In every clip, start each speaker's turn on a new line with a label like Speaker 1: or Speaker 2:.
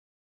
Speaker 1: ♪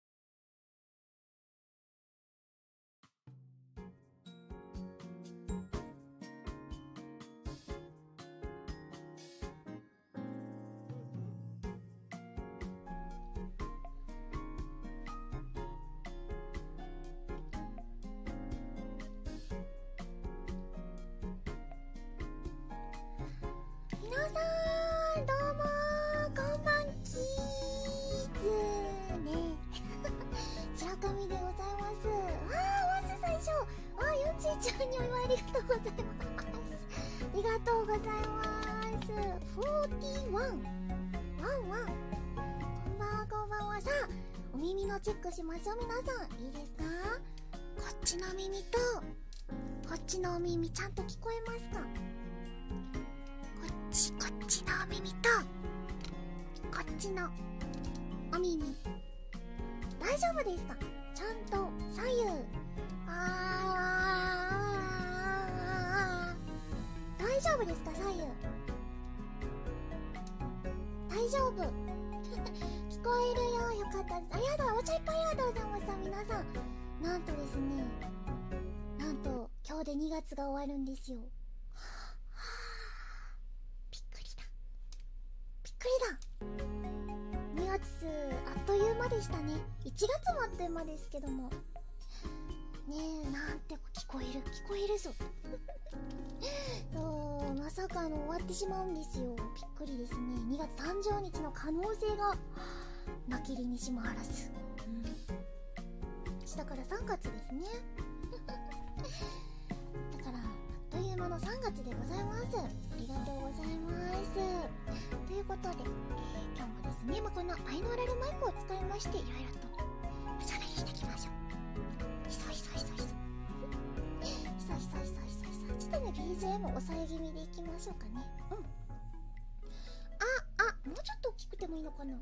Speaker 1: 皆さんどうもこんばんきーずね村上でございますあまず最初あーヨーちゃんにお祝いありがとうございますありがとうございます41ワンワンこんばんはこんばんはさあお耳のチェックしましょう皆さんいいですかこっちの耳とこっちのお耳ちゃんと聞こえますかこっちこっちのお耳とこっちのお耳大丈夫ですかちゃんと左右ああ。大丈夫ですか左右大丈夫 聞こえるよよかったですありがとうお茶いっぱいありがとうございました皆さんなんとですねなんと今日で2月が終わるんですよびっくりだびっくりだ2月あっという間でしたね1月もあっという間ですけどもねなんて聞こえる聞こえるぞ まさかの終わってしまうんですよびっくりですね2月30日の可能性がなきりにしもあらず、下から3月ですね だからあっという間の3月でございますありがとうございますということで、え今日もですね、まこのアイノーラルマイクを使いましていろいろとおしゃべりしていきましょうひそひそひそひそひそひそひそひそひそちょっとね BGM 抑え気味でいきましょうかねうんああもうちょっと大きくてもいいのかな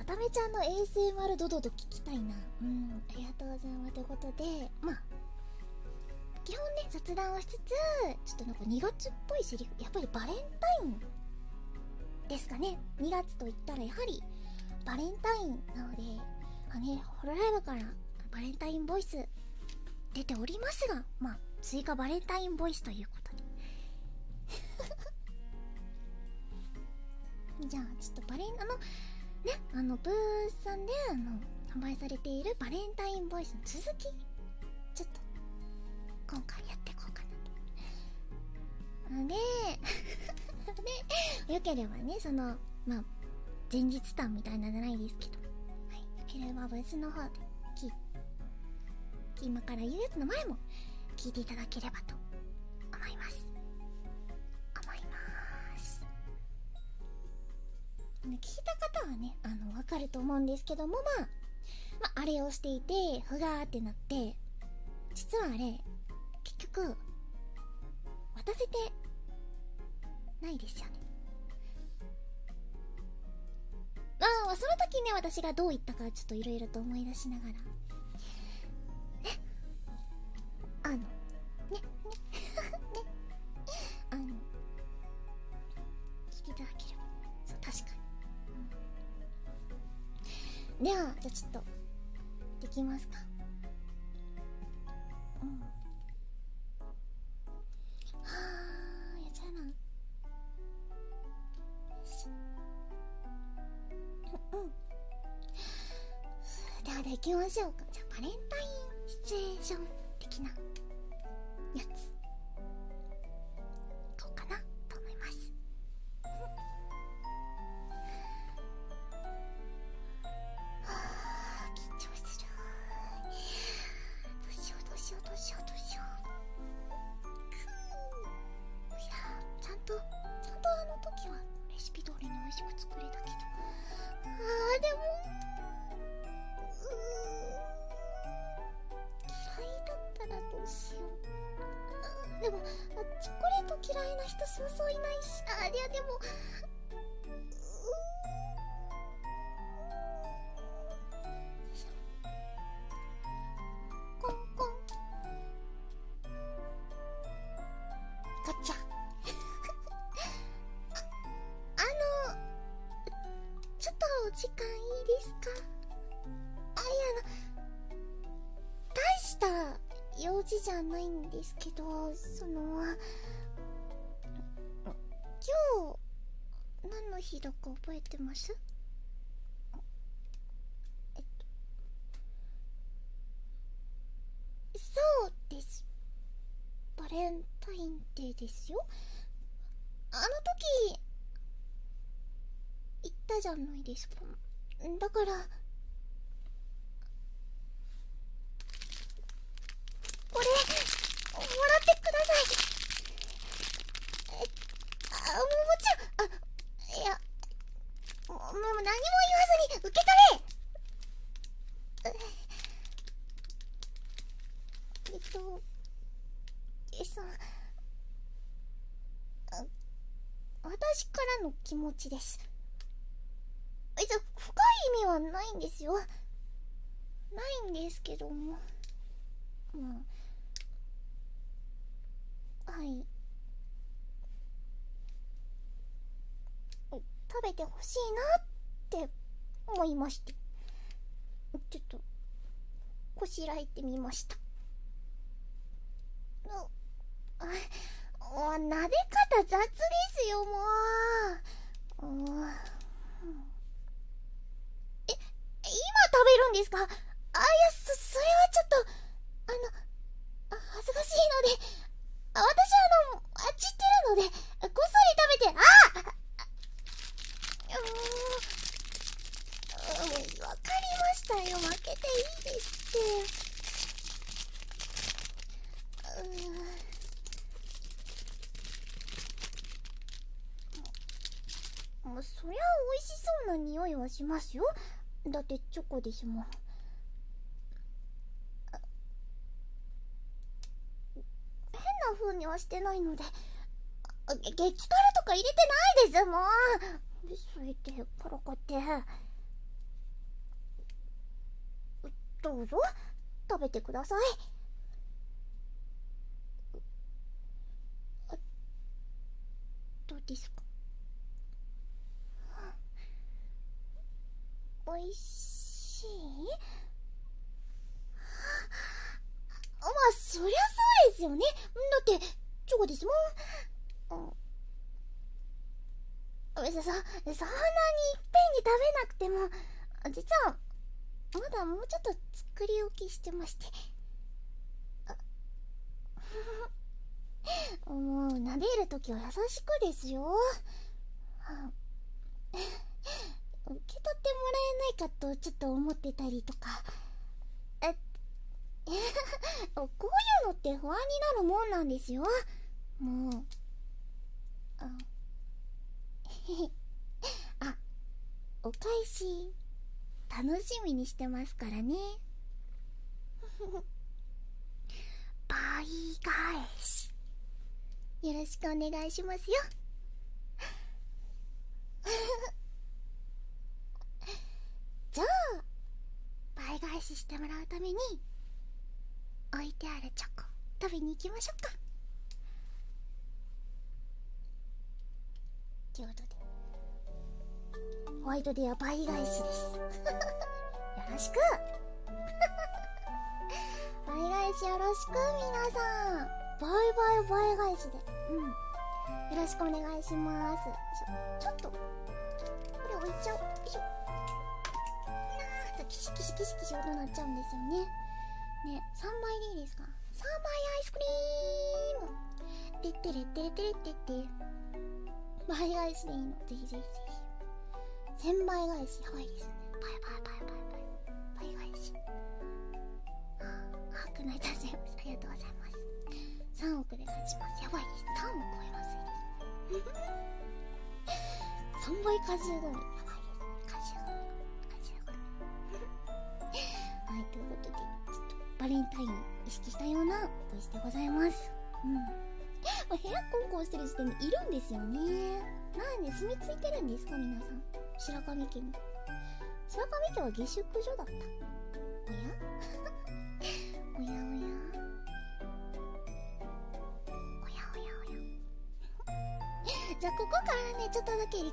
Speaker 1: あためちゃんの ASMR ドドド聞きたいなうんありがとうございますということでまあ基本ね雑談をしつつちょっとなんか2月っぽいセリフやっぱりバレンタインですかね2月といったらやはりバレンタインなのであねホロライブからバレンタインボイス出ておりますがま追加バレンタインボイスということで じゃあちょっとバレンあのねあのブースさんであの販売されているバレンタインボイスの続きちょっと今回やっていこうかなとで でよければねそのまあ前日談みたいなじゃないですけど、はい、よければブースの方でき今から言うやつの前も聞いていただければと思います思います聞いた方はねあの分かると思うんですけどもまああ、れをしていてふがーってなって実はあれ結局渡せてないですよねあその時ね私がどう言ったかちょっといろいろと思い出しながらねあのねねねあの聞いていただければそう確かに、うん、ではじゃあちょっとできますかうんはあやっちゃうなよし。うんうんではできましょうかじゃあバレンタインシチュエーション的なやつこうかなと思いますああ緊張するどうしようどうしようどうしようどうしようくいやちゃんとちゃんとあの時はレシピ通りに美味しく作れたけどあーでもうー嫌いだったらどうしようでもチョコレート嫌いな人そうそういないしあいやでもうコンコンガチャあ あのちょっとお時間いいですかあいや大した用事じゃないんですけどその今日何の日だか覚えてますえっとそうですバレンタインデーですよあの時言ったじゃないですかだからこれもらってくださいえっあももちゃんあいやもも何も言わずに受け取れえっとえそあ、私からの気持ちですえじゃ深い意味はないんですよないんですけどもうんはい食べてほしいなって思いましてちょっとこしらえてみましたな。お撫で方雑ですよもう。うん。え、今食べるんですかあ、いや、そ、それはちょっと、あの、恥ずかしいので、私あの、あっちってるので、こっそり食べて、ああうん、わ、かりましたよ、負けていいですって。うんそりゃ美味しそうな匂いはしますよだってチョコですもん変な風にはしてないので激辛とか入れてないですもんそれでからかってどうぞ食べてくださいどうですかおいしいまあそりゃそうですよねだってチョコですもんそそんなにいっぺんに食べなくても実はまだもうちょっと作り置きしてまして。あ。もうなでる時は優しくですよ受け取ってもらえないかとちょっと思ってたりとかえっ こういうのって不安になるもんなんですよもうあ あお返し楽しみにしてますからね 倍返しよろしくお願いしますよ じゃあ倍返ししてもらうために置いてあるチョコ食べに行きましょうかということでホワイトデーは倍返しです よろしく 倍返しよろしく皆さん倍倍倍返しでうんよろしくお願いしますちょっとこれ置いちゃおうよいしょなーっとキシキシキシキシ音鳴っちゃうんですよねね3枚でいい3倍アイスクリームてってれってれってれってって倍イスでいいのぜひぜひぜひ1000倍返しやばいですねバイバイバイバイバイ倍返しああくないたちありがとうございます3億で勝ちますやばいです3億超えます3 倍果汁ゴミやばいですね果汁ゴミ果汁ゴミはいということでちょっとバレンタイン意識したようなおイスでございますうんまあ、部屋コンコンしてる時点でいるんですよねなんで住み着いてるんですか皆さん白神家に白神家は下宿所だったおや おやおやおやおやおや じゃあここからねちょっとだけリ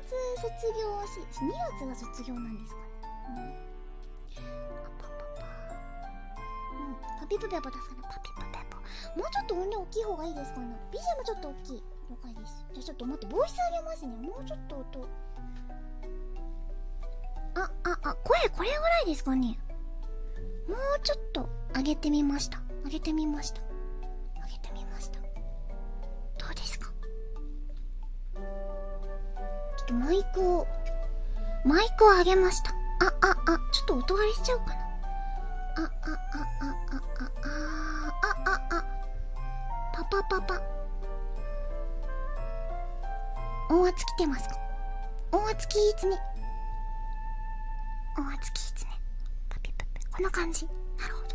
Speaker 1: 月卒業し2月が卒業なんですかねうんあパパパうパピプペポ出すかなパピプペポもうちょっと音量大きい方がいいですかねビ b g もちょっと大きい了解ですじゃあちょっと待ってボイス上げますねもうちょっと音あああ声これぐらいですかねもうちょっと上げてみました上げてみました上げてみましたどうですかマイクをマイクを上げましたあああちょっと音割れしちゃうかなああああああああパパパパ音圧来てますか音圧きいつね音圧きいつねこんな感じなるほど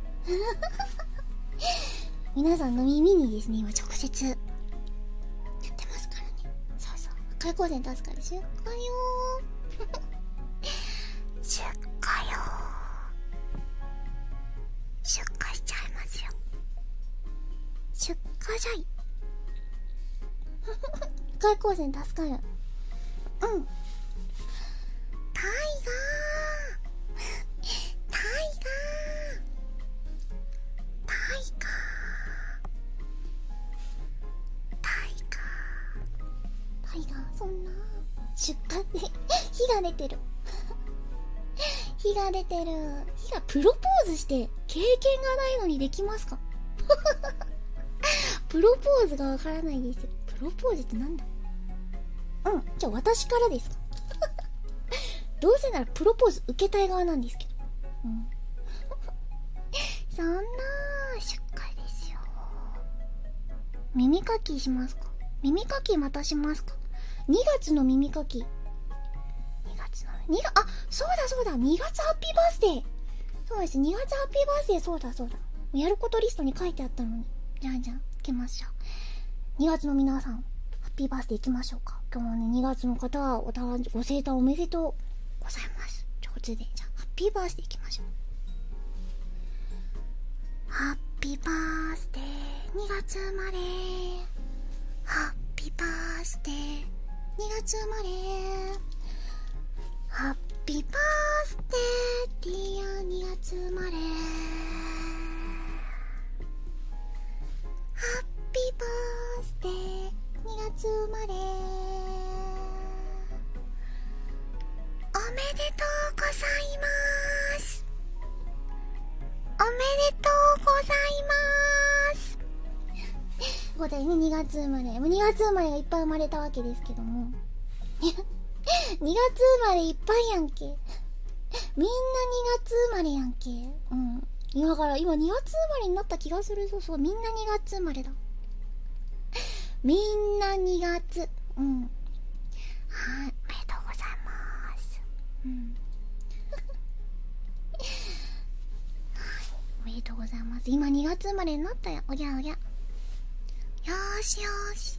Speaker 1: 皆さんの耳にですね今直接やってますからねそうそう開口線出すから 出荷よー出荷よー出荷しちゃいますよ出荷じゃい 開口線助かる。うんタイガータイガータイガータイガータイガーそんな出荷で 火が出てる火が出てる火がプロポーズして経験がないのにできますか プロポーズがわからないですプロポーズって何だうんじゃあ私からですか どうせならプロポーズ受けたい側なんですけどうん そんなしっですよ耳かきしますか耳かきまたしますか2月の耳かき2月の2があそうだそうだ2月ハッピーバースデーそうです2月ハッピーバースデーそうだそうだやることリストに書いてあったのにじゃんじゃん行きましょう2月の皆さんハッピーバースデー行きましょうか今日はね2月の方はお誕ご生誕おめでとうございますじゃハッピーバースデー行きましょうハッピーバースデー2月生まれハッピーバースデー2月生まれハッピーバースデーディアー、2月生まれハッピーバースデー2月生まれおめでとうございますおめでとうございますここでね2月生まれ2月生まれがいっぱい生まれたわけですけども 2 月生まれいっぱいやんけ。みんな2月生まれやんけ。うん。だから今2月生まれになった気がする。そうそう。みんな2月生まれだ。みんな2月。うん。はい。おめでとうございます。うん。はい。おめでとうございます。今2月生まれになったよ。おぎゃおぎゃ。よしよし。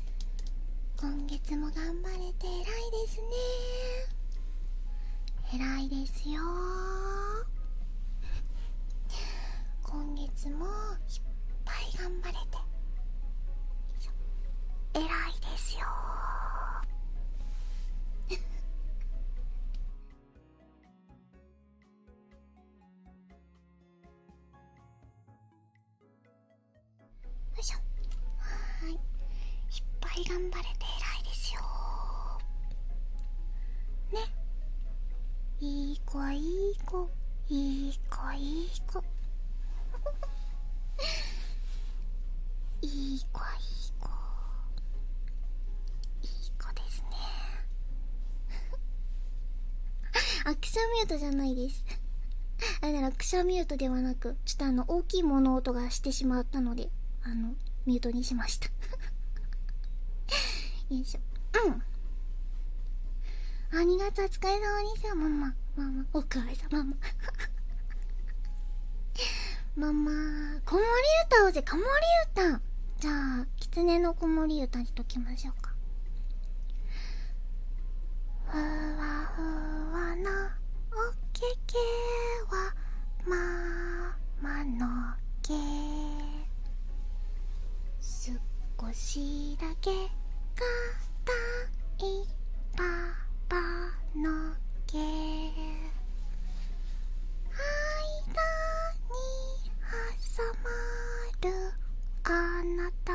Speaker 1: 今月も頑張れて偉いですね偉いですよ今月もいっぱい頑張れて偉いですよよいしょはいいっぱい頑張れて偉いですよねいい子いい子いい子いい子 いい子いい子いい子ですね アクションミュートじゃないですあれならくしゃミュートではなくちょっとあの大きい物音がしてしまったのであのミュートにしました よいしょうんあ2月は使い様にさママママおかわりさママママ子守歌をぜ子守歌じゃあ狐の子守歌にときましょうかふわふわなおけけはままのけすこしだけかたいパパのけ間に挟まるあなた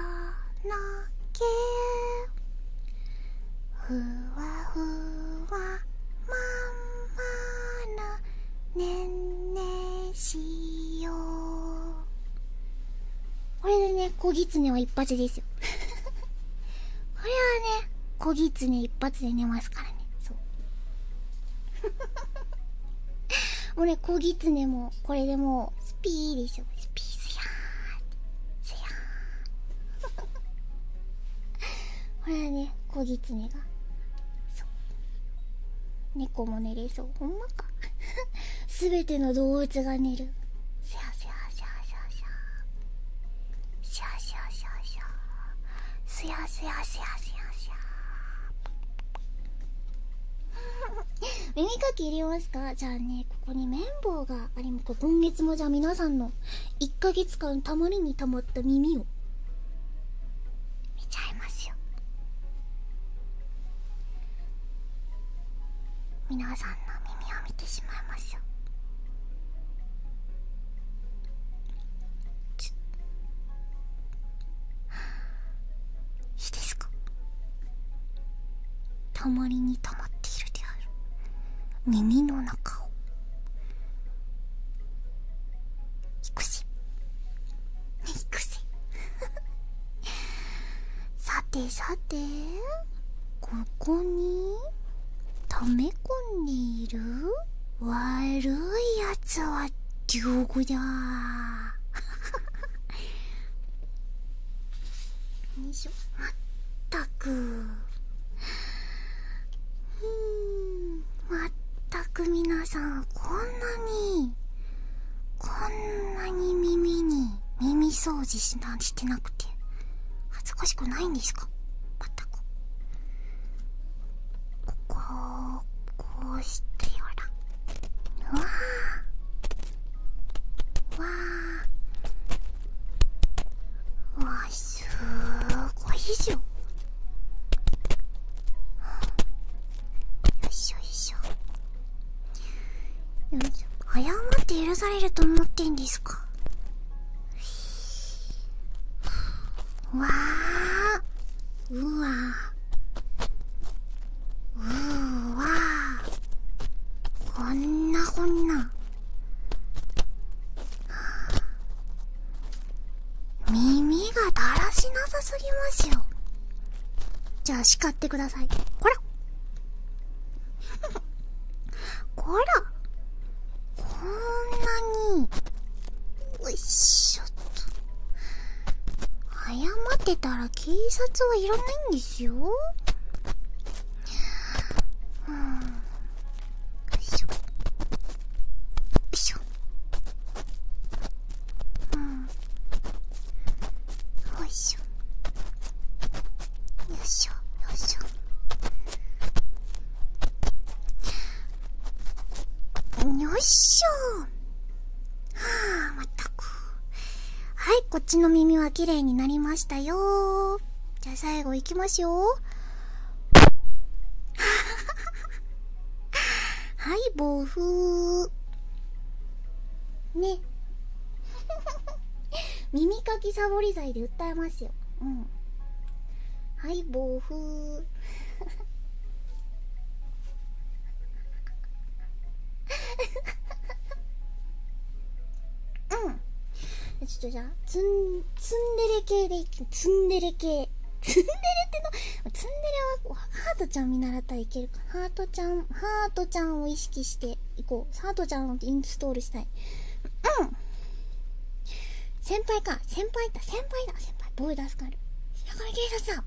Speaker 1: のけ。ふわふわまんまるねんねしようこれでね小狐は一発ですよ これはね小狐一発で寝ますからねそう俺小狐もこれでもスピーでしょスピースやースやーほらね小狐がそう猫も寝れそうほんまか すべての動物が寝るシャシャシャシャシャシャシャシャシャシャシャシャシャシャシャ耳かき入れますかじゃあねここに綿棒がありま今月もじゃあ皆さんの1か月間たまりにたまった耳を見ちゃいますよ皆さんの耳を見てしまいますよいいですかたまりにたまっているである耳の中を行くし行くし さてさてここに溜め込んでいる悪いやつは地獄だよいしょまったくうんまったくみなさんこんなにこんなに耳に耳掃除しなしてなくて恥ずかしくないんですかまったくここをこうしてやらうわわあわあすーごいじゃんよいしょよいしょよいしょ謝って許されると思ってんですかうわあうわうわこんなこんな耳がだらしなさすぎますよじゃあ叱ってくださいこらほ らこんなによいしょっと謝ってたら警察はいらないんですようんしょしょうんよいしょよいしょよいしょよいしょはあまったくはい、こっちの耳は綺麗になりましたよじゃあ最後いきますよ。はい、暴風。ね。耳かきサボり剤で訴えますよ。うん。はい、暴風。うんちょっとじゃあツンツンデレ系でいきツンデレ系ツンデレってのツンデレはハートちゃん見習ったらいけるかハートちゃんハートちゃんを意識していこうハートちゃんをインストールしたいうん先輩か先輩だ先輩だ先輩ボーイ出すからやこれ警察だ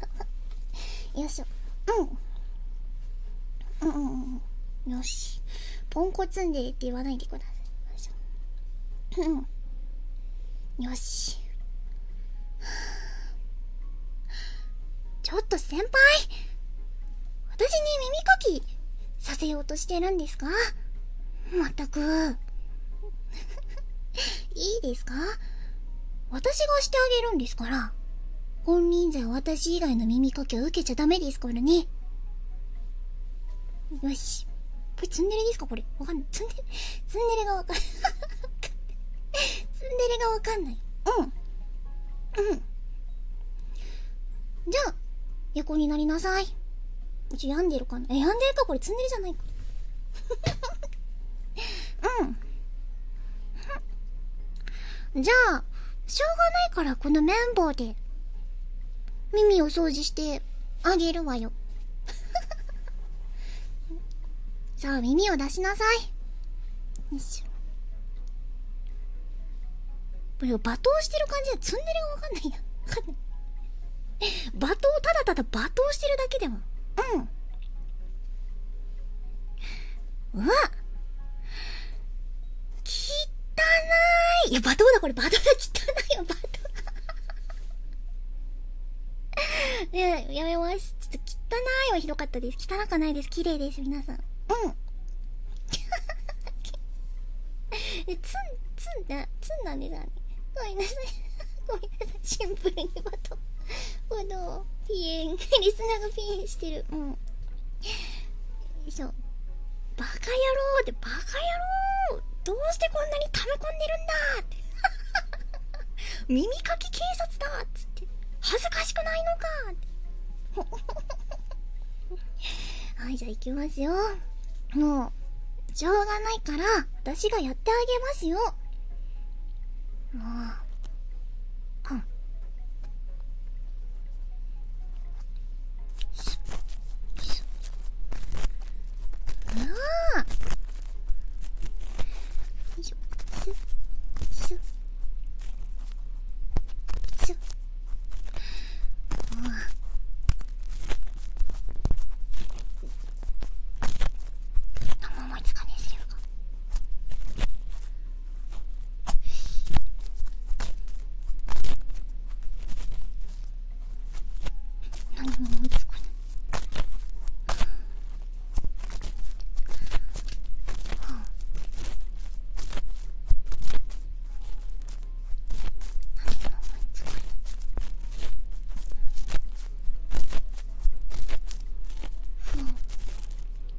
Speaker 1: バーンよいしょうんうんよしポンコツんでって言わないでくださいよしよしちょっと先輩私に耳かきさせようとしてるんですかまったく いいですか私がしてあげるんですから本人じゃ私以外の耳かきを受けちゃダメですからね。よし。これツンデレですかこれ。わかんない。ツンデレ、ツンデレがわかんない。ツンデレがわかんない。うん。うん。じゃあ、横になりなさい。うち病んでるかえ、病んでるかこれツンデレじゃないか。うん。じゃあしょうがないからこの綿棒で耳を掃除してあげるわよ じゃあ耳を出しなさいよいしこれ罵倒してる感じでツンデレがわかんないやんな 罵倒ただただ罵倒してるだけではうんうわ汚いいや、バ罵倒だ、これ、罵倒だ、汚いよ、バト。や、やめます。ちょっと、汚いはひどかったです。汚くないです。綺麗です、皆さん。うん。え、ツン、ツンだ、ツンなんですごめんなさい。ごめんなさい。シンプルに罵倒。この、ピエン、リスナーがピエンしてる。うん。よいしょバカ野郎ってバカ野郎どうしてこんなに溜め込んでるんだって 耳かき警察だっつって恥ずかしくないのかって はいじゃあいきますよもうしょうがないから私がやってあげますよもううんうわーシュッシュッシュッうわ何もいつかねえセ何も思いかない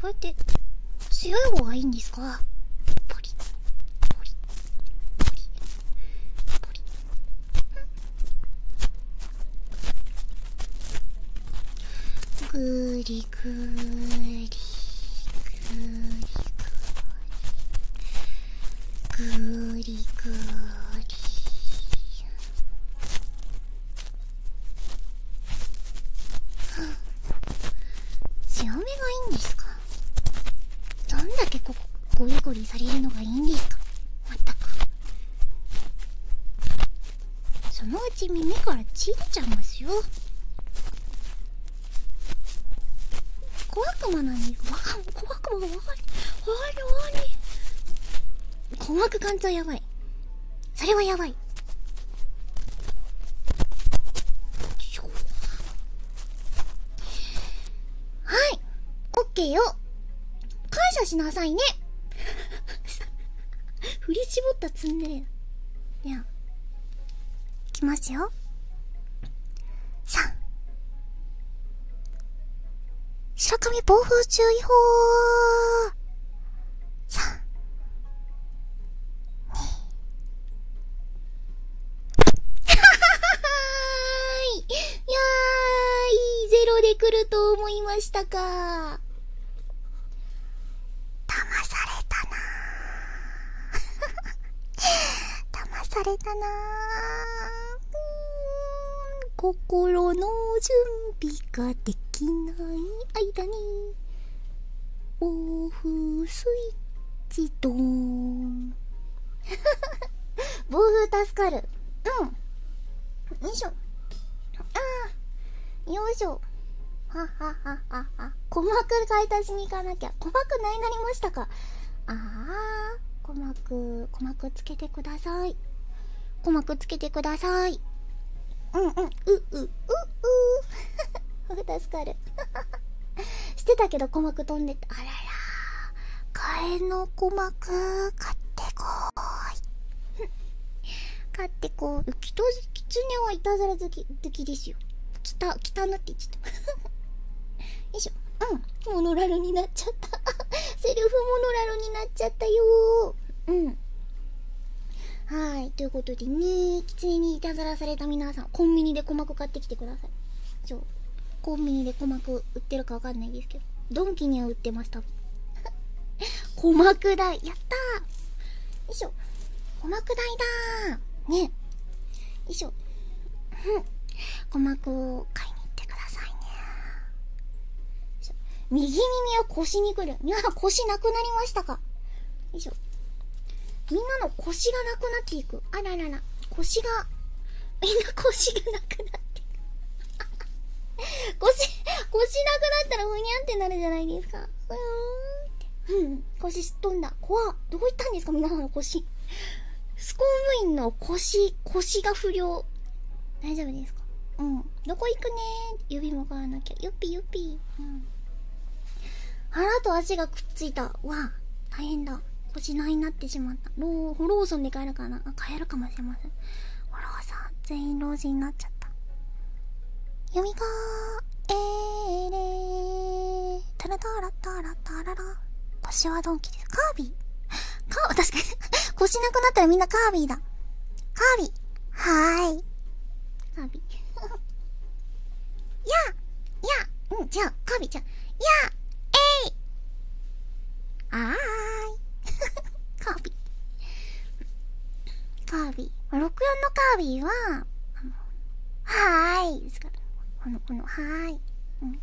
Speaker 1: こうやって強い方がいいんですかポリポリポリポリぐりぐりぐりぐりぐりぐり強めがいいんですかどんだけここゴリゴリされるのがいいんですかまったくそのうち耳からちいちゃいますよ怖くもなにわかん小悪魔がわかりわか怖い。怖り困惑感情やばいそれはやばいはいオッケーよ感謝しなさいね 振り絞ったツンデレではきますよさあ。白神暴風注意報いやーゼロで来ると思いましたか騙されたな 騙されたなん心の準備ができない間に暴風スイッチドン 暴風助かるうんよいしょああよいしょははははは鼓膜買い足しに行かなきゃ鼓膜ないなりましたかああ鼓膜鼓膜つけてください鼓膜つけてくださいうんうんうううう 助かる してたけど鼓膜飛んでたあらら替えの鼓膜買ってこーい 買ってこーきときつねはいたずら好き好きですよきたきたなって言っちゃったよいしょうんモノラルになっちゃったセルフモノラルになっちゃったよーうんはいということできつ煙にいたずらされた皆さんコンビニで鼓膜買ってきてくださいそうコンビニで鼓膜売ってるかわかんないですけどドンキには売ってました 鼓膜代やったよいしょ鼓膜代だーねよいしょ鼓膜を買いに行ってくださいね右耳腰に来る。みん腰なくなりましたかよいしょ。みんなの腰がなくなっていく。あららら。腰が、みんな腰がなくなっていく。腰、腰なくなったらふにゃんってなるじゃないですか。ふーって。うん。腰すっとんだ。怖どういったんですか皆さんの腰。ス公務員の腰、腰が不良。大丈夫ですかうん。どこ行くね指も変わらなきゃよっぴよっぴ腹と足がくっついたわあ大変だ腰ないなってしまったローホローソンで帰るかなあ帰るかもしれませんホローソン全員老人になっちゃった読みがーえーれータラタラタラタララ腰はドンキですカービィカー確かに腰なくなったらみんなカービィだカービィい はーいカビややうんじゃあカビじゃんやえいあーカービカービ64のカービーははいですからこのこのはいうん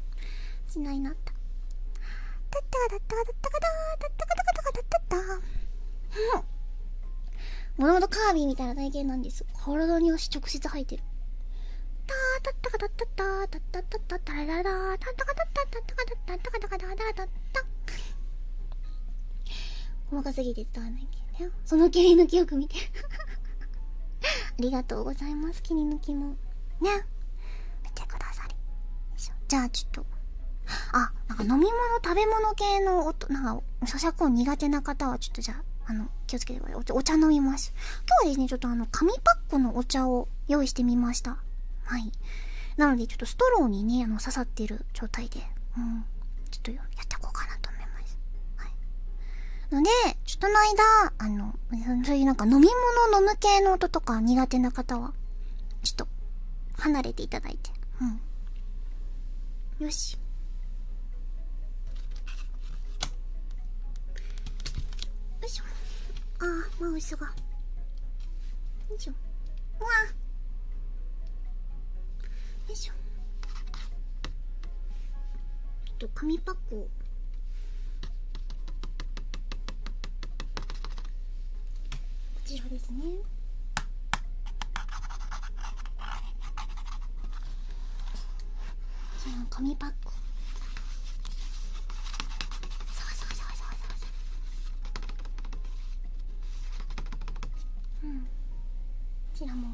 Speaker 1: しないなっただったかだったかだったかだーだったかだかだかだったもともとカービィみたいな体型なんです体に足直接生えてるたーたったかたったったーたったったったったらららたったかたったったったかたったったかたったったったった細かすぎて伝わらないけどねその蹴り抜きよく見てありがとうございます蹴り抜きもね見てくださりじゃあちょっとあ、なんか飲み物、食べ物系の音、なんか、咀嚼音苦手な方は、ちょっとじゃあ、あの、気をつけてください。お茶飲みます。今日はですね、ちょっとあの、紙パックのお茶を用意してみました。はい。なので、ちょっとストローにね、あの、刺さってる状態で、うん。ちょっとやっていこうかなと思います。はい。ので、ちょっとの間、あの、そういうなんか飲み物飲む系の音とか苦手な方は、ちょっと、離れていただいて。うんよしよいしょああマ椅子がよいしょうわよいしょちっと紙パックをこちらですねその紙パックそうそうそうそうそううんこちらも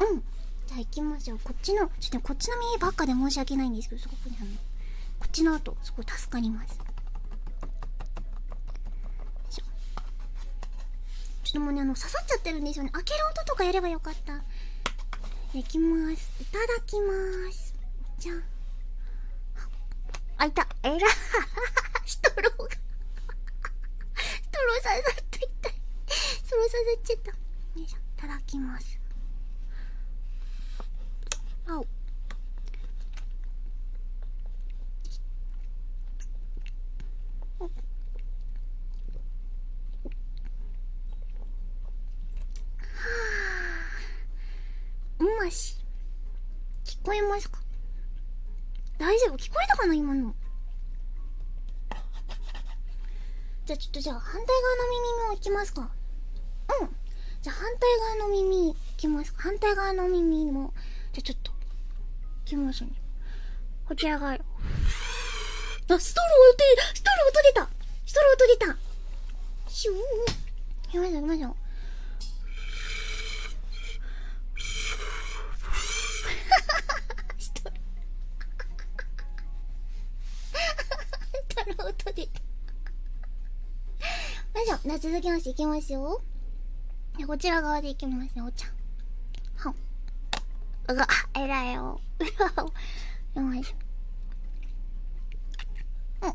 Speaker 1: うんじゃあ行きましょうこっちのちょっと、ね、こっちの耳ばっかで申し訳ないんですけどすごくねあのこっちの後すごい助かりますちょっともうねあの刺さっちゃってるんですよね開ける音とかやればよかったいきますいただきますじゃあ。あいたえら ストローがストロー刺さっていたストロー刺さっちゃったいしょいただきますあおはあうまし聞こえますか大丈夫聞こえたかな今のじゃあちょっとじゃあ反対側の耳もいきますかうんじゃあ反対側の耳いきますか反対側の耳もじゃあちょっといきますねこちらがあストローを出ストローを音出たストローを音出たシューいきましょういきましょうストロー太郎と出たよいしょじゃあ続きましていきますよでこちら側でいきますよお茶はんうがえらいようわよいしょうん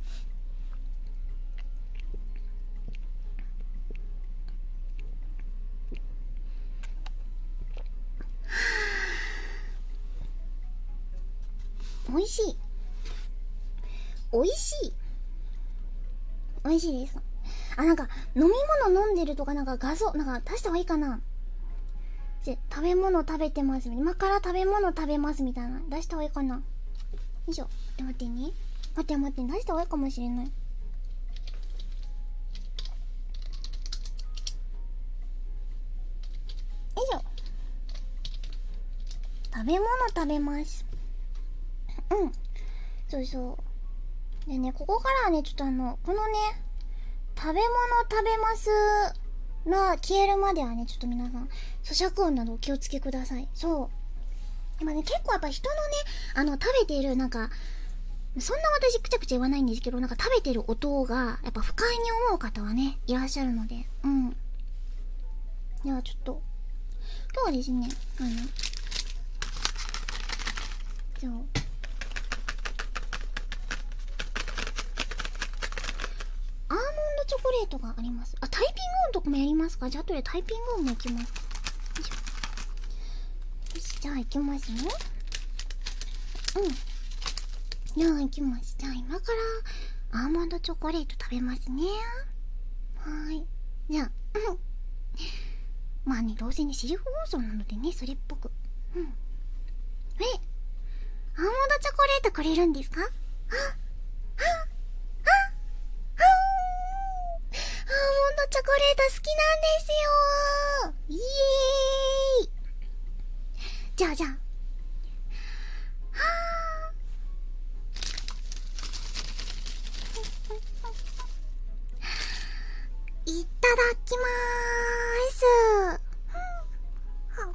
Speaker 1: 美味しい美味しい美味しいですあなんか飲み物飲んでるとかなんか画像なんか出した方がいいかな食べ物食べてます今から食べ物食べますみたいな出した方がいいかなよいしょ待ってね待って待って出した方がいいかもしれないよい食べ物食べますうんそうそうでねここからはねちょっとあのこのね食べ物食べますが消えるまではねちょっと皆さん咀嚼音などお気をつけくださいそう今ね結構やっぱ人のねあの食べてるなんかそんな私くちゃくちゃ言わないんですけど、なんか食べてる音が、やっぱ不快に思う方はね、いらっしゃるので、うん。ではちょっと、今日はですね、あの、じゃアーモンドチョコレートがあります。あ、タイピング音とかもやりますかじゃあ後でタイピング音もいきますよいしょ。しじゃあ行きますよ。うんじゃあ行きますじゃあ今からアーモンドチョコレート食べますねはーいじゃあんまあねどうせねシリフ放送なのでねそれっぽくうんえアーモンドチョコレートくれるんですかああアーモンドチョコレート好きなんですよイエじゃあじゃあはあいただきまーすうん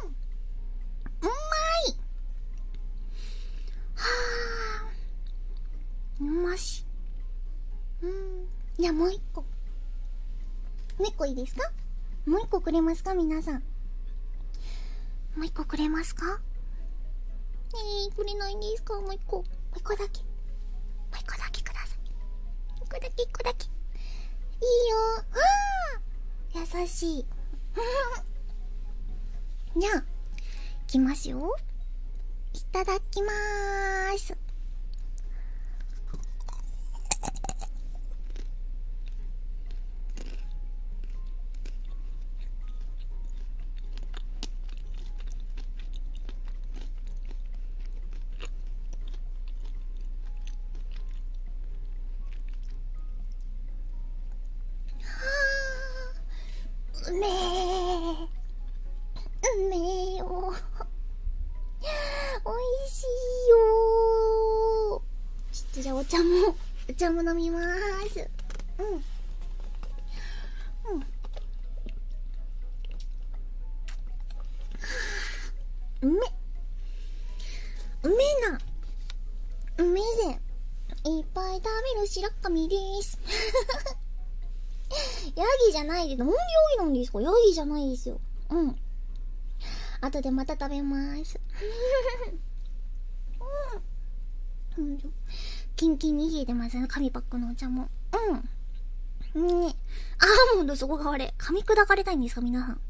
Speaker 1: うもうまうん、一個もう一個猫いいですかもう一個くれますか皆さんもう一個くれますかえー、くれないんででもう一個もう一個だけもう一個だけください一個だけ一個だけいいよあー優しい じゃあいきますよいただきまーすうめうめえよおいしいよじゃあお茶もお茶も飲みますうんうん、うめうめなうめえぜいっぱい食べる白神です ヤギじゃないでなんでなんですかヤギじゃないですようん後でまた食べまーすうん うんキンキンに冷えてます紙パックのお茶もうんねアーモンドそこが悪い。噛み砕かれたいんですか皆さん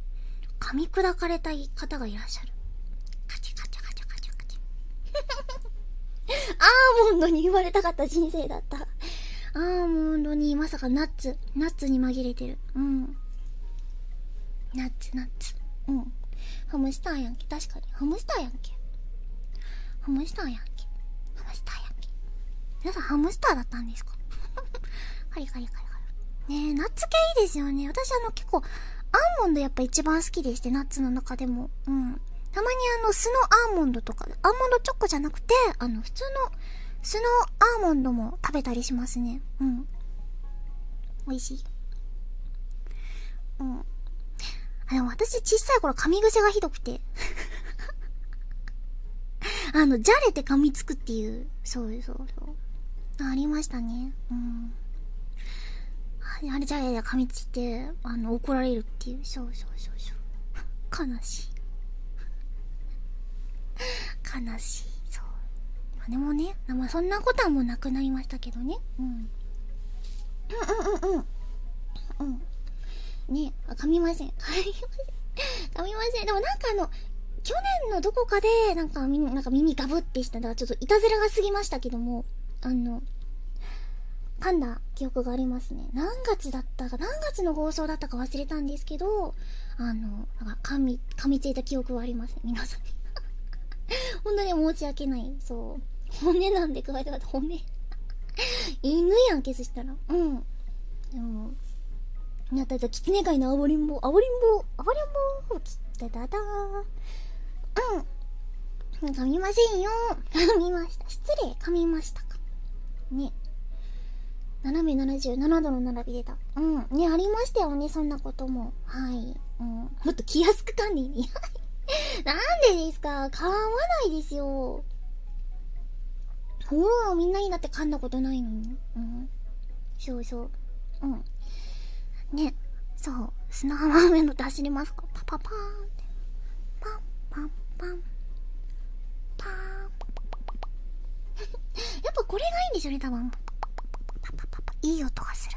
Speaker 1: 噛み砕かれたい方がいらっしゃるカチャカチャカチカチカチャ アーモンドに言われたかった人生だったアーモンドにまさかナッツナッツに紛れてるうんナッツナッツうんハムスターやんけ確かにハムスターやんけハムスターやんけハムスターや皆さんハムスターだったんですか カリカリカリカリねえナッツ系いいですよね私あの結構アーモンドやっぱ一番好きでしてナッツの中でもうんたまにあの酢のアーモンドとかアーモンドチョコじゃなくてあの普通の酢のアーモンドも食べたりしますねうん美味しいうんあでも私小さい頃噛み癖がひどくて あのじゃれて噛みつくっていうそうそうそうありましたねうんあれじゃれで噛みついてあの怒られるっていうそうそうそう悲しい悲しいそうまあでもねまあそんなことはもうなくなりましたけどねうんうんうんうんうんうんねあ噛みません噛みません噛みませんでもなんかあの去年のどこかでなんか耳なんか耳ガブってしたらちょっといたずらが過ぎましたけどもあの噛んだ記憶がありますね何月だったか何月の放送だったか忘れたんですけどあのなんか噛み噛みついた記憶はありますね皆さんに 本当に申し訳ないそう骨なんで加えてまた骨犬やんけすしたらうんでもやったやったキツネ界のあおりんぼあおりんぼあおりんぼつってただうんかみませんよ噛みました失礼噛みましたかね斜め77度の並び出たうんねありましたよねそんなこともはい、うん、もっと気安く管理に。なんでですか噛わないですよ。おお、みんなにだって噛んだことないのに。そうそう。うん。ね、そう。砂浜上の出しりますかパパパーンって。パンパンパン。パーン。やっぱこれがいいんでしょうね、多分。パパパパ。いい音がする。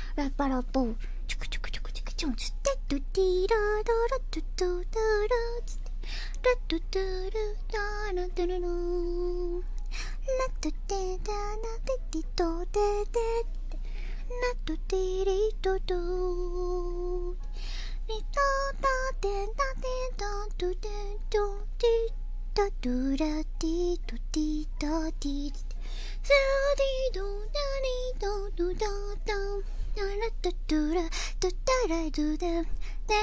Speaker 1: ラッパラッポーチョクチョクチョクチョクチョンつってドゥティラダラドゥドゥダラつってラッドゥドゥラダラドゥルルーラッドゥテダナテティトテテテラッドティリトドゥリトタテタテタドゥテドゥティタドゥラティトティタティきてサディドナリドドドドナラトトラトタラドダデ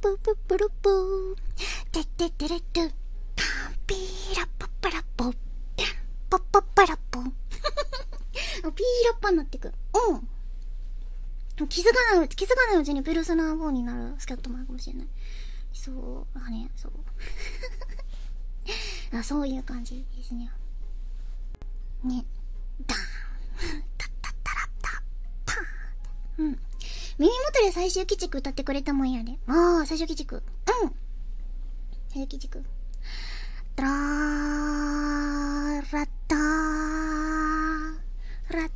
Speaker 1: プププルプテテテレトパンピーラパパラポパパパラポピーラッパになってくうん気づかないうち、気づかないうちにペルスナー4になるスキャットマンかもしれない。そうあね、そう あそういう感じですねねダーンタッタッタラッタパーンうん耳元で最終鬼畜歌ってくれたもんやでああ最終鬼畜うん最終鬼畜タラーラッターラッタ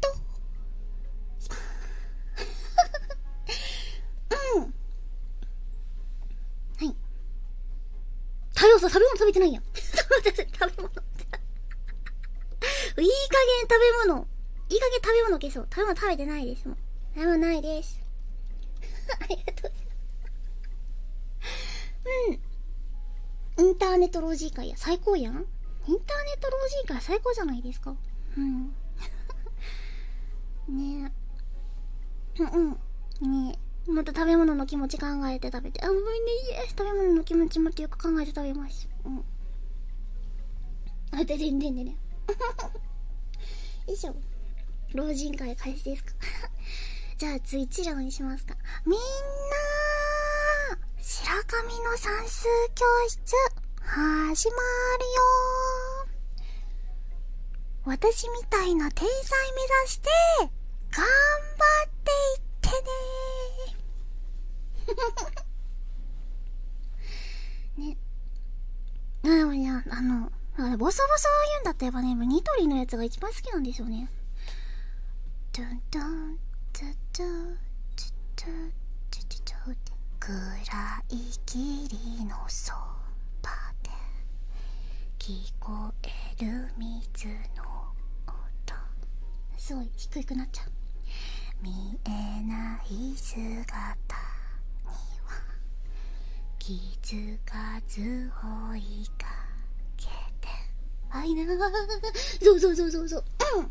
Speaker 1: とうんはい太陽ん食べ物食べてないや 食べ物いい加減食べ物いい加減食べ物消そう食べ物食べてないですもん食べ物ないです ありがとううんインターネット老人会や最高やんインターネット老人会最高じゃないですかうん ねえうんうんねえまた食べ物の気持ち考えて食べてあごめんねイエス食べ物の気持ちもってよく考えて食べますうんあででんでんでんでんよいしょ老人会開始ですか じゃあツイッチラにしますかみんな白神の算数教室始まるよ私みたいな天才目指して頑張っていってね ねでもいやあのボソボソ言うんだったらやっぱねニトリのやつが一番好きなんですよねドゥンドゥンドゥドゥドゥドゥドゥドゥ暗い霧のそばで聞こえる水の音すごい低くなっちゃう見えない姿には気付かず追いかけてあいなそうそうそうそうそう、うん、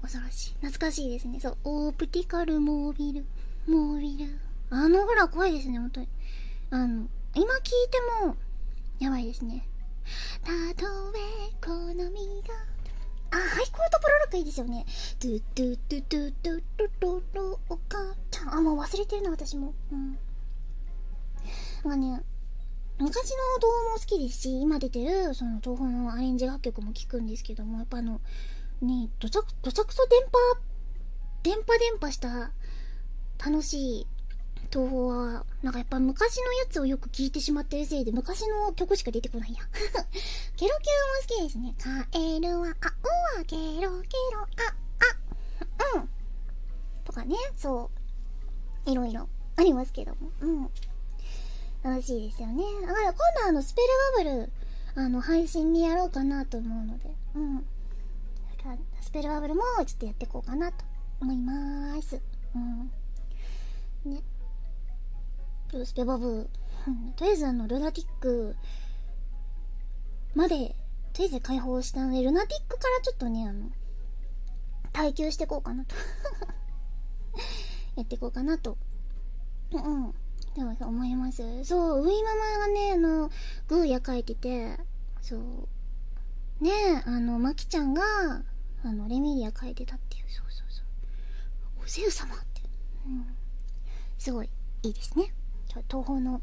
Speaker 1: 恐ろしい懐かしいですねそうオープティカルモービルモービルあのぐらい怖いですね本当にあの今聞いてもやばいですねたとえ好みがあハイコートプロロックいいですよねドゥドゥドゥドゥドゥドゥドゥお母ちゃんあもう忘れてるな私もうんまあね昔の動画も好きですし今出てるその東宝のアレンジ楽曲も聴くんですけどもやっぱあのねどちどちゃくそ電波電波電波した楽しい東宝はなんかやっぱ昔のやつをよく聴いてしまってるせいで昔の曲しか出てこないや ケロキュロも好きですねカエルは青はケロケロああうんとかねそういろいろありますけどもうん楽しいですよねだから今度あのスペルバブルあの配信でやろうかなと思うのでうんスペルバブルもちょっとやっていこうかなと思いますうんねスペバブ、ル、とりあえずあのルナティックまでとりあえず解放したのでルナティックからちょっとねあの耐久してこうかなと やっていこうかなとうんうんでも思いますそうウイママがねあのグーヤ描いててそうねえあのマキちゃんがあのレミリア描いてたっていうそうそうそうおゼウ様って、うん、すごいいいですね東方の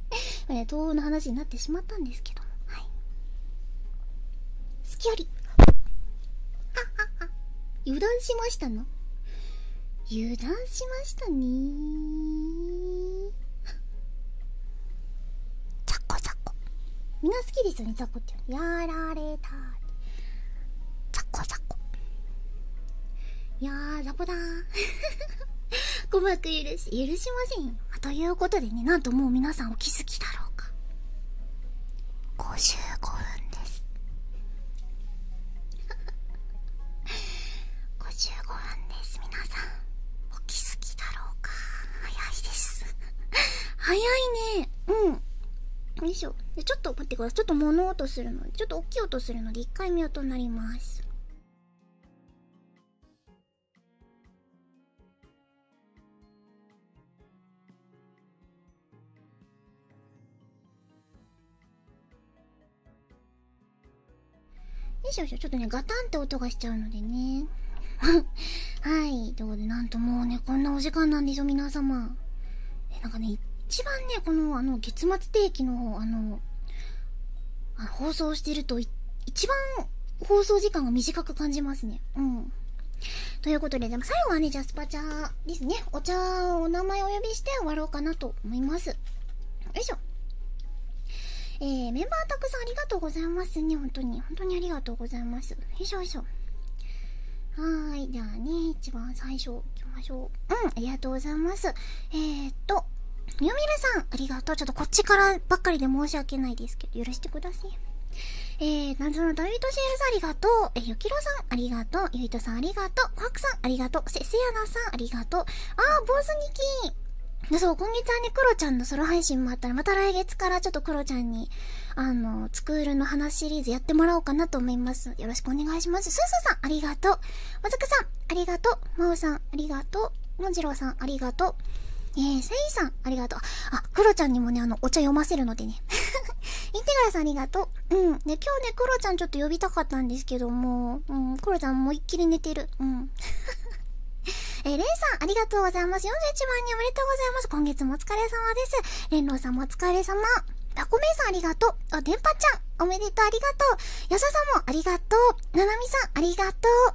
Speaker 1: えー、東欧の話になってしまったんですけどもはい好きよりあああ油断しましたの油断しましたねザコザコみんな好きですよねザコってやられたザコザコいやザコだー鼓 膜許し、許しませんよ。ということでね、なんともう皆さんお気づきだろうか。55分です。55 分です、皆さん。お気づきだろうか。早いです。早いね。うん。よいしょ。ちょっと待ってください。ちょっと物音するので、ちょっと大きい音するので、1回目音になります。よいしょよいしょ、ちょっとね、ガタンって音がしちゃうのでね。はい。ということで、なんともうね、こんなお時間なんですよ、皆様。え、なんかね、一番ね、この、あの、月末定期の、方あの、あ放送してると一番放送時間が短く感じますね。うん。ということで、でも最後はね、ジャスパチャですね。お茶をお名前お呼びして終わろうかなと思います。よいしょ。えメンバーたくさんありがとうございますね。本当に。本当にありがとうございます。よいしょよいしょ。はい。じゃあね、一番最初行きましょう。うん、ありがとうございます。えっと、みよみるさん、ありがとう。ちょっとこっちからばっかりで申し訳ないですけど、許してください。えー、謎のダイビットシェルさんありがとう。えー、ゆきろさんありがとう。ゆいとさんありがとう。ファクさんありがとう。せ、せやなさんありがとう。あー、坊主にきー。そう、今月はね、クロちゃんのソロ配信もあったら、また来月からちょっとクロちゃんに、あの、スクールの話シリーズやってもらおうかなと思います。よろしくお願いします。すーすーさんありがとう。まずくさんありがとう。まおさんありがとう。もじろうさん、ありがとう。えー、せいさん、ありがとう。あ、クロちゃんにもね、あの、お茶読ませるのでね。インテグラさん、ありがとう。うん。で、今日ね、クロちゃんちょっと呼びたかったんですけども、うん、クロちゃん思いっきり寝てる。うん。えー、レンさん、ありがとうございます。41万人おめでとうございます。今月もお疲れ様です。れんろーさんもお疲れ様。タこめイさんありがとう。あ、でんぱちゃん、おめでとうありがとう。ヤささんもありがとう。ななみさんありがとう。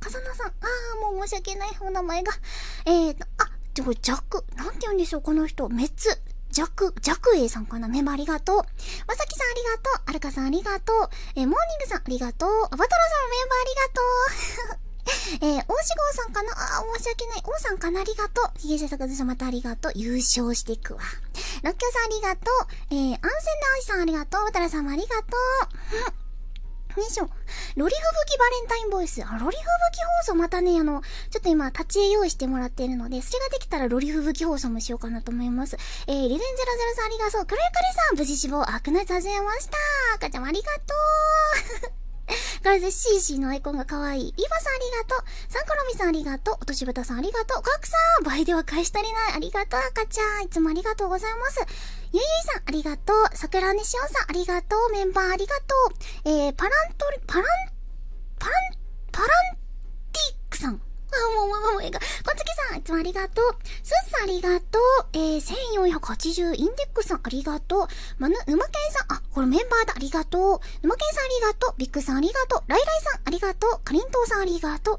Speaker 1: 笠菜さん。ああ、もう申し訳ない。お名前が。えーと、あ、ちょ、ジャク。なんて言うんでしょう、この人。メツ。ジャク、ジャクエイさんかなメンバーありがとう。まさきさんありがとう。アルカさんありがとう。えー、モーニングさんありがとう。アバトラさんメンバーありがとう。えー、大志郷さんかなあー、申し訳ない。王さんかなありがとう。ヒゲ制作さん、またありがとう。優勝していくわ。ロッキョさんありがとう。えー、安全な愛さんありがとう。バ渡良さんもありがとう。よいしょ。ロリフ吹雪バレンタインボイス。あ、ロリフ吹雪放送またね、あの、ちょっと今、立ち絵用意してもらっているので、それができたらロリフ吹雪放送もしようかなと思います。えー、リレンゼロゼロさんありがとう。クレカリさん、無事死亡。あ、くない、始めました。赤ちゃんありがとう。ガルゼシーシーのアイコンが可愛い。リバさんありがとう。サンコロミさんありがとう。おとしぶたさんありがとう。ガクさん倍では返したりない。ありがとう、赤ちゃん。いつもありがとうございます。ゆゆいさん、ありがとう。さくらねしおさん、ありがとう。メンバー、ありがとう。えー、パラントリ、パラン、パラン、パランティックさん。あ、もう、もう、もう、ええ、が。こつきさん、いつもありがとう。すっさん、ありがとう。えー、1480、インデックスさん、ありがとう。まぬ、ぬまけんさん、あ、これメンバーだ、ありがとう。ぬまけんさん、ありがとう。ビックさん、ありがとう。ライライさん、ありがとう。かりんとうさん、ありがとう。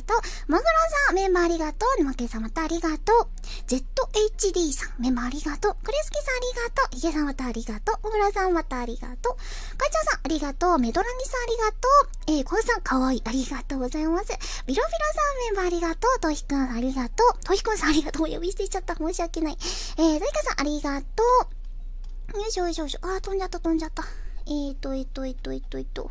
Speaker 1: とマグロさん、メンバーありがとう。ぬまけさん、またありがとう。ZHD さん、メンバーありがとう。クレスキさん、ありがとう。ヒゲさん、またありがとう。小倉さん、またありがとう。会長さん、ありがとう。メドランギさん、ありがとう。えー、コウさん、かわいい。ありがとうございます。ビロビロさん、メンバーありがとう。トヒくん、ありがとう。トヒくんさん、ありがとう。お呼びしていちゃった。申し訳ない。えー、ダイカさん、ありがとう。よいしょよいしょよいしょ。あー、飛んじゃった、飛んじゃった。えーと、えーと、えーと、えーと、えーと。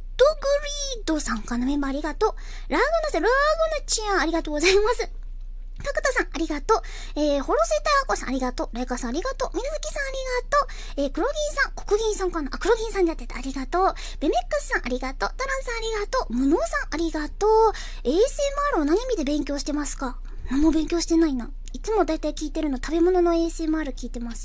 Speaker 1: ッドグリードさんからのメンバーありがとう。ラグナさん、ラグナちゃん、ありがとうございます。角田さん、ありがとう。えー、ホロセタアコさん、ありがとう。ライカさん、ありがとう。水月さん、ありがとう。えー、黒銀さん、黒銀さんかなあ、黒銀さんでやってた。ありがとう。ベメックスさん、ありがとう。タランさん、ありがとう。無能さん、ありがとう。ASMR を何見で勉強してますか何も勉強してないな。いつもだいたい聞いてるの、食べ物の ASMR 聞いてます。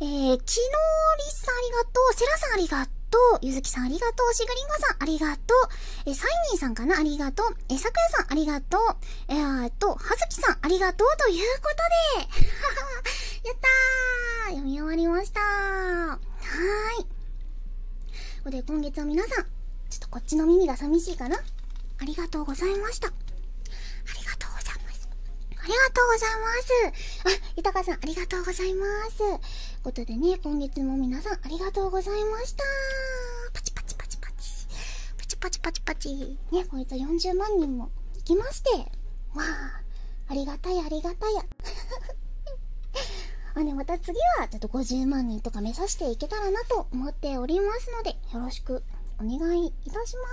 Speaker 1: えー、日リりさんありがとう、セラさんありがとう、ゆずきさんありがとう、しぐりんごさんありがとう、えサイニーさんかなありがとう、えー、ささんありがとう、えー、っと、はずきさんありがとうということで、やったー読み終わりましたーはーい。で、今月は皆さん、ちょっとこっちの耳が寂しいかなありがとうございました。ありがとうございます。ありがとうございます。あ、豊さん、ありがとうございます。ことでね、今月も皆さん、ありがとうございました。パチパチパチパチ。パチパチパチパチ。ね、こいつは40万人も行きまして。わあ、ありがたいありがたい あね、また次は、ちょっと50万人とか目指していけたらなと思っておりますので。でよろしくお願いいたしま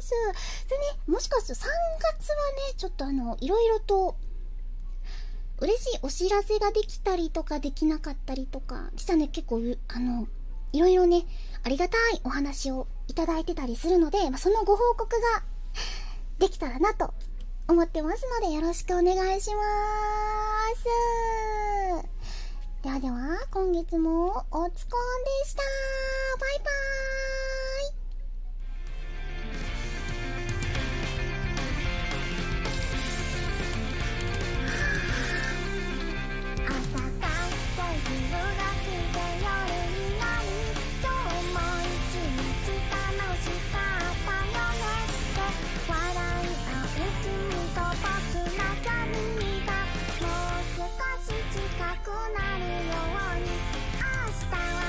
Speaker 1: すでねもしかすると3月はねちょっとあのいろいろと嬉しいお知らせができたりとかできなかったりとか実はね結構あのいろいろねありがたいお話をいただいてたりするので、まあ、そのご報告ができたらなと思ってますのでよろしくお願いしますではでは今月もおつこんでしたバイバーイ朝かいがきて、になり、もしかったよね。こいにく。がもう少し近い」くなるように明日は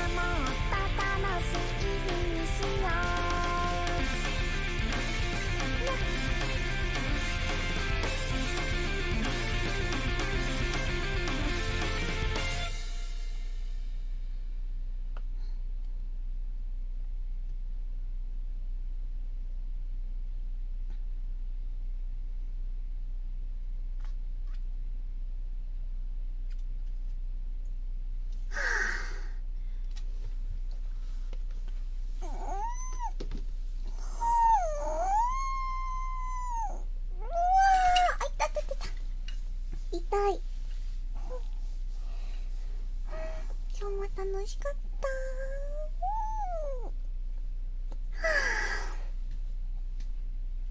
Speaker 1: もっと楽しい日にしよう今日も楽しかった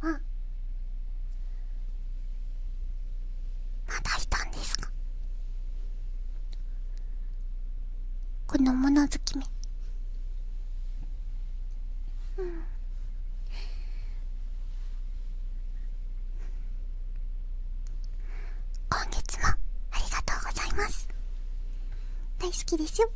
Speaker 1: あまだいたんですかこの物好きに…うん今月もありがとうございます大好きですよ